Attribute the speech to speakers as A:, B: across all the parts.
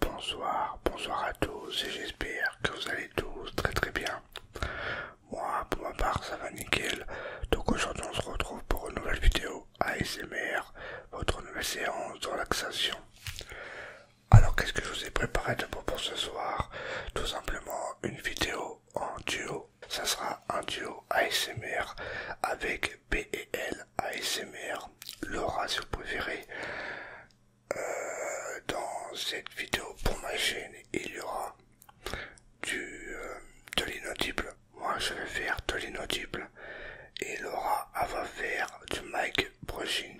A: Bonsoir, bonsoir à tous et j'espère que vous allez tous très très bien. Moi pour ma part ça va nickel, donc aujourd'hui on se retrouve pour une nouvelle vidéo ASMR, votre nouvelle séance de relaxation. Alors qu'est-ce que je vous ai préparé d'abord pour ce soir Tout simplement une vidéo en duo, ça sera un duo ASMR avec pel ASMR, Laura si vous préférez. Euh, dans cette vidéo pour ma chaîne, il y aura du, euh, de l'inaudible. Moi je vais faire de l'inaudible et Laura va faire du mic brushing.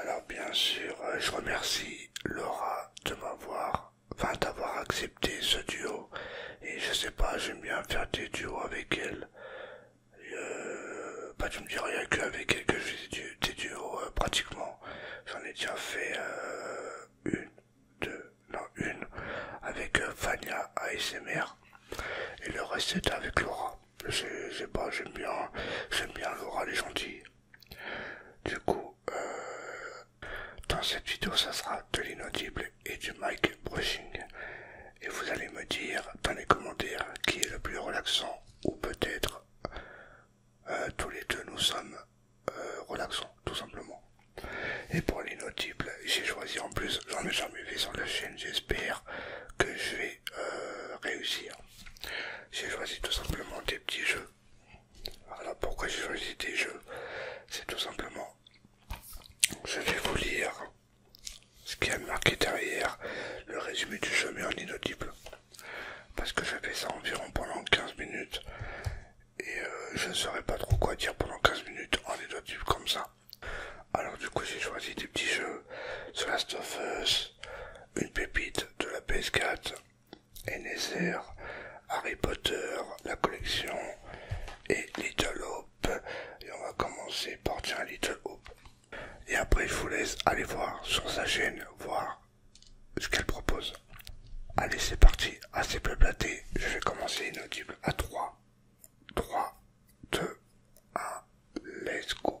A: Alors bien sûr, euh, je remercie Laura de m'avoir, enfin d'avoir accepté ce duo. Et je sais pas, j'aime bien faire des duos avec elle. Euh, bah tu me dis rien que avec qu'avec quelques vidéos euh, pratiquement. J'en ai déjà fait euh, une, deux, non une, avec euh, Fania ASMR. Et le reste c'était avec Laura. je sais pas, j'aime bien, j'aime bien Laura les gentils. Du coup, dans cette vidéo, ça sera de l'inaudible et du mic Brushing. Et vous allez me dire dans les commentaires qui est le plus relaxant ou peut-être euh, tous les deux nous sommes euh, relaxants tout simplement. Et pour les notibles, j'ai choisi en plus, j'en ai jamais vu sur la chaîne, j'espère que je vais euh, réussir. J'ai choisi tout simplement des petits jeux. alors pourquoi j'ai choisi des jeux. C'est tout simplement, je vais vous lire ce qui a marqué derrière le résumé du chemin en inaudible. Parce que j'avais ça environ pendant 15 minutes. Et euh, je ne saurais pas trop quoi dire pendant 15 minutes en inaudible comme ça. Alors du coup j'ai choisi des petits jeux. The Last of Us, une pépite de la PS4, NSR, Harry Potter, la collection et Little Hope. Et on va commencer par un Little hop Et après, je vous laisse aller voir sur sa chaîne, voir ce qu'elle propose. Allez, c'est parti, assez peu platé. Je vais commencer inaudible à 3, 3, 2, 1, let's go.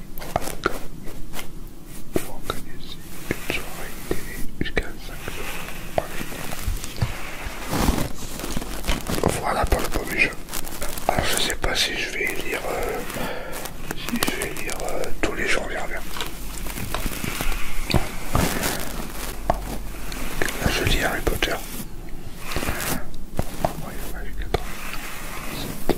A: soirée d'accord, Vous organiser une soirée télé jusqu'à 5 heures. Voilà pour le premier jeu. Alors je sais pas si je vais lire euh, si je vais lire euh, tous les jours, viens, viens. bien. Là je lis Harry Potter. Oh, ouais, ouais, 14, 17,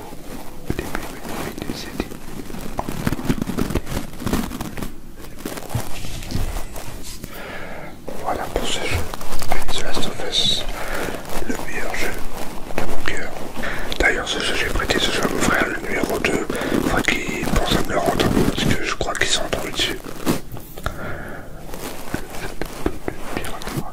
A: Voilà pour ce jeu. The Last of Us, le meilleur jeu de mon cœur. D'ailleurs, ce jeu, j'ai prêté ce jeu à mon frère, le numéro 2. Faudrait qu'il pense à me le rendre parce que je crois qu'il sont rendu dessus.